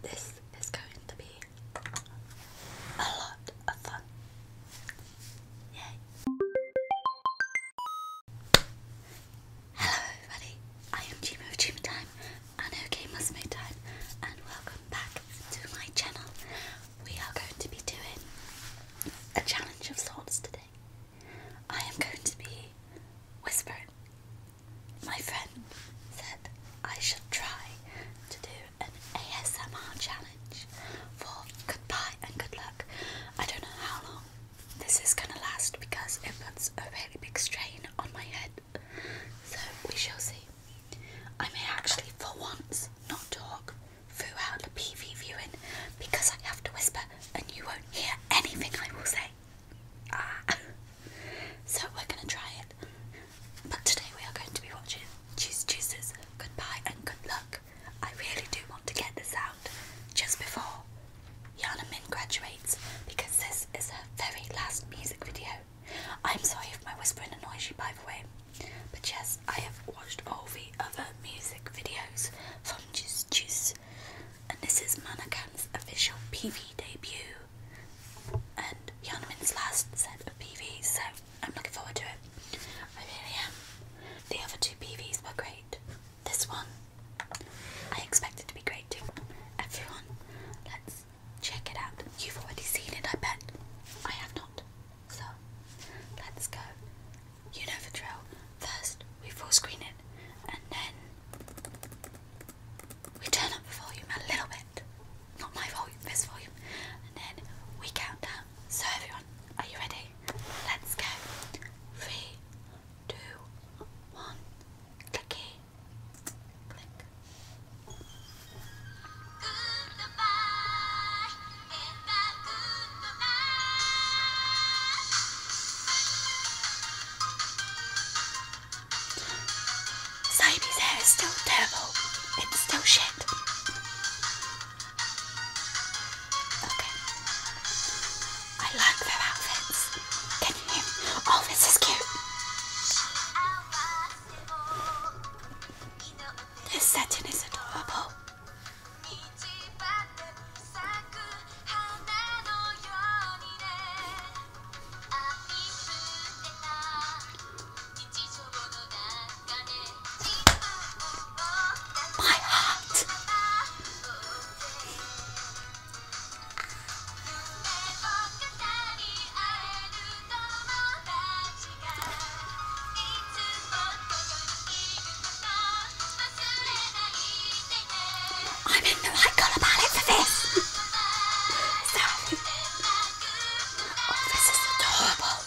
This is going to be a lot of fun. Yay! Hello everybody, I am Jimo of Jimo Time and OK Musmo Time and welcome back to my channel. We are going to be doing a challenge of sorts today. I am going to be whispering my friend said I should try to do an ASMR challenge for goodbye and good luck. I don't know how long this is gonna last because it puts a really big strain on my head, so we shall see. I may actually, for once, not talk throughout the PV viewing because I have to whisper and you won't hear anything I will say. Ah. so we're gonna try it. But today we are going to be watching Cheese Juices. Goodbye and good luck. I really do want to get this out just before Yana Min graduates because this is her very last music video. I'm sorry if my whispering annoys you by the way. But yes, I have watched all the other music videos from Juice Juice, and this is Manakan's official PV debut and Yanmin's last set of PVs, so I'm looking forward to it. I really am. The other two PVs were great. This one, I expect it to be great too. Everyone, let's check it out. You've already seen it, I bet. I have not. So, let's go. You know the drill. First, we full screen it, and then we turn up the volume a little bit, not my volume, this volume, and then we count down. So, everyone, are you ready? Let's go. Three, two, one, clicky, click. Sammy's hair is still terrible. It's still shit. Okay. I like their outfits. Can you Oh, this is cute. This setting is adorable.「花のようにね」「あみつけた日常の中で」「じぶんぼうがまたぼうぜ」「ゆめぼくたにあえるともだちがいつもとよりいること」I'm in the right colour palette for this. Sorry. Oh, this is adorable.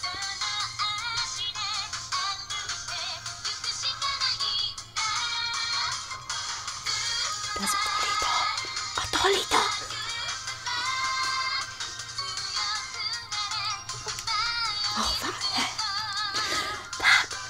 There's a dolly doll. A dolly doll. Oh, that hair. That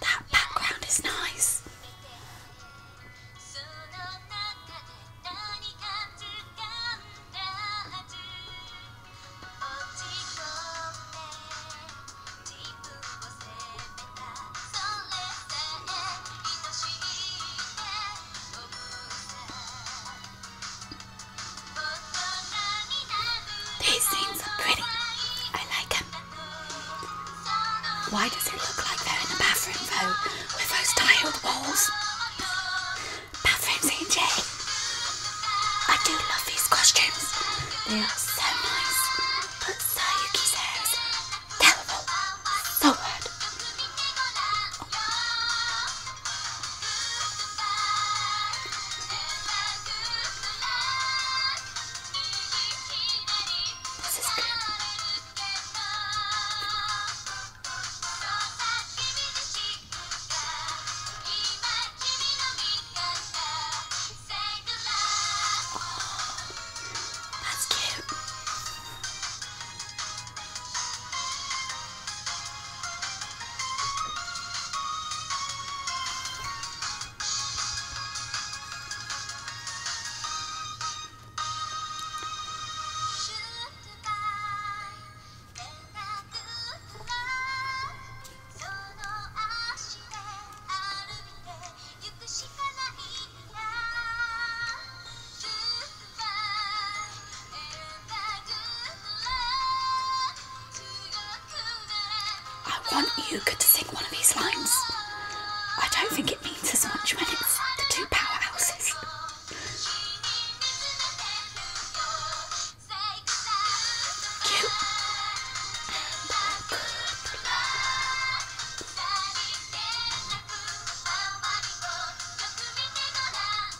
That background is nice. These things are pretty. I like them. Why does it look like they're in a bathroom though, with those tiled walls? Bathroom CJ. I do love these costumes. They are so nice. But Sayuki's hair terrible. So bad. This is good. Oh, that's cute.「ジューッバイエンタギューフラー」「その足で歩いてゆくしかないんだ」「ジューッバイエンタギューフラー」「強く」I want Yuka to sing one of these lines. I don't think it means as much when it's the two powerhouses. Cute.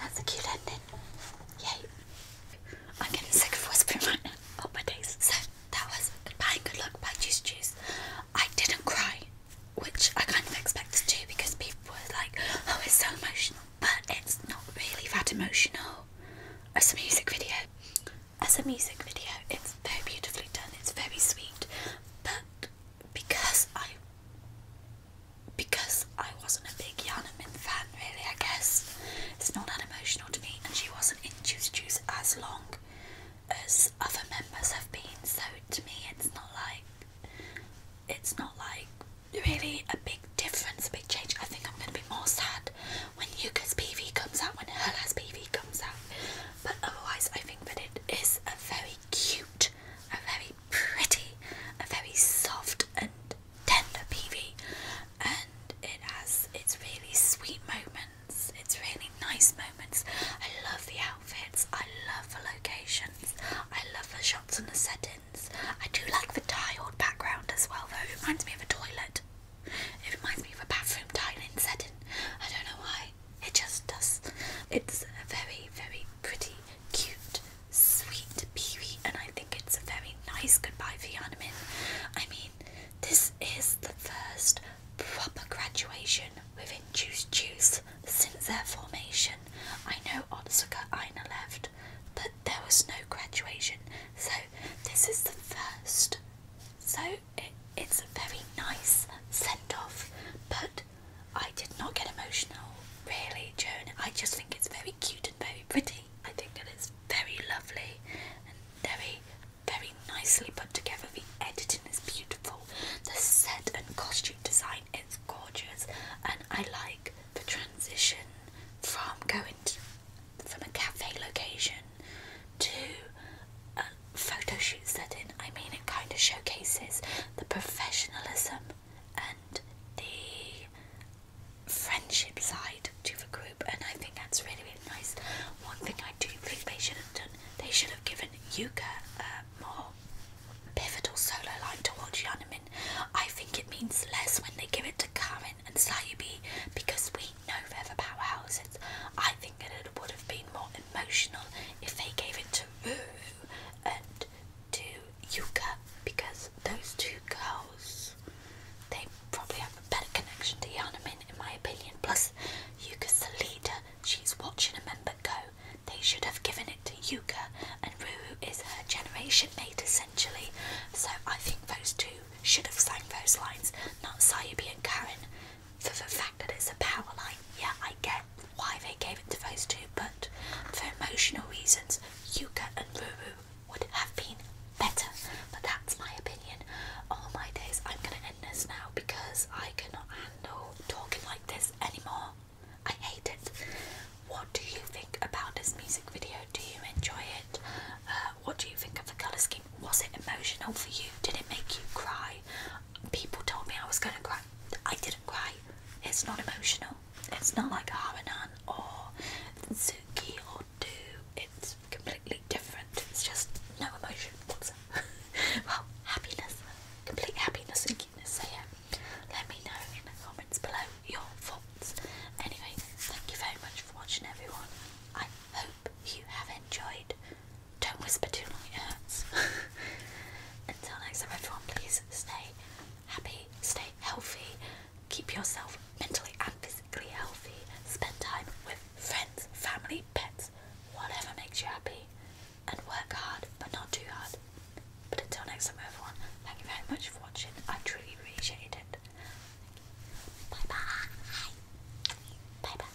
That's a cute ending. Yay. I'm getting sick of whispering right now. Oh my days. So that was Bye Good Luck by Juice Juice. I didn't cry, which I kind of expected to because people were like, oh, it's so emotional. But it's not really that emotional as a music video. As a music video, it's very beautifully done, it's very sweet. But because I because I wasn't a big Yana Min fan, really, I guess. It's not that emotional to me, and she wasn't in Juice Juice as long as other members have been, so to me, it's not like it's not like really a big difference, a big change. I think I'm going to be more sad when Yuka's PV comes out, when her last PV comes out. But otherwise, I think that it is a very cute, a very pretty, a very soft and tender PV, and it has its really sweet moments, its really nice moments. I love the outfits, I love the locations, I love the shots and the settings. I do like the tiled background as well, though. It reminds me of a toilet. It reminds me of a bathroom tiling setting. I don't know why. It just does. It's very, very pretty, cute sweet peewee, and I think it's a very nice goodbye for Yanamin. I mean, this is the first proper graduation within Juice Juice since their formation. I know Otzuka Aina left, but there was no graduation, so this is the first. So it, it's a very nice send off, but I did not get emotional, really, Joan. I just think it's very cute and very pretty. I think that it's very lovely and very, very nicely put together. The editing is beautiful. The set and costume design is gorgeous, and I like the transition from going from a cafe location to a photo shoot setting. I mean, it kind of showcases the professionalism and the friendship side to the group, and I think that's really, really nice. One thing I do think they should have done, they should have given Yuka uh, more pivotal solo line towards Yanamin. I think it means less when they give it to Karin and Sayubi because we know they're the powerhouses. I think it would have been more emotional if they gave it to Ruru and to Yuka because those two girls they probably have a better connection to Yanamin in my opinion. Plus Yuka's the leader, she's watching a member go. They should have given it to Yuka and Ruru is her generation mate essentially. So I think those two should have sang those lines, not Sayubi and Karen, for the fact that it's a power line yeah, I get why they gave it to those two, but for emotional reasons, Yuka and Ruru would have been better. But that's my opinion. All my days, I'm gonna end this now because I cannot handle talking like this anymore. I hate it. What do you think about this music video? Do you enjoy it? Uh, what do you think of the colour scheme? Was it emotional for you? Did it make you cry? People told me I was gonna cry. I did not did It's not emotional. It's not like Haranan or Suki or Do. It's completely different. It's just no emotion whatsoever. well, happiness. Complete happiness and cuteness. So yeah, let me know in the comments below your thoughts. Anyway, thank you very much for watching everyone. I hope you have enjoyed. Don't whisper too long, it hurts. Until next time, everyone, please stay happy, stay healthy, keep yourself mentally and physically healthy, spend time with friends, family, pets, whatever makes you happy, and work hard but not too hard. But until next time, everyone, thank you very much for watching. I truly appreciate it. Bye bye. Bye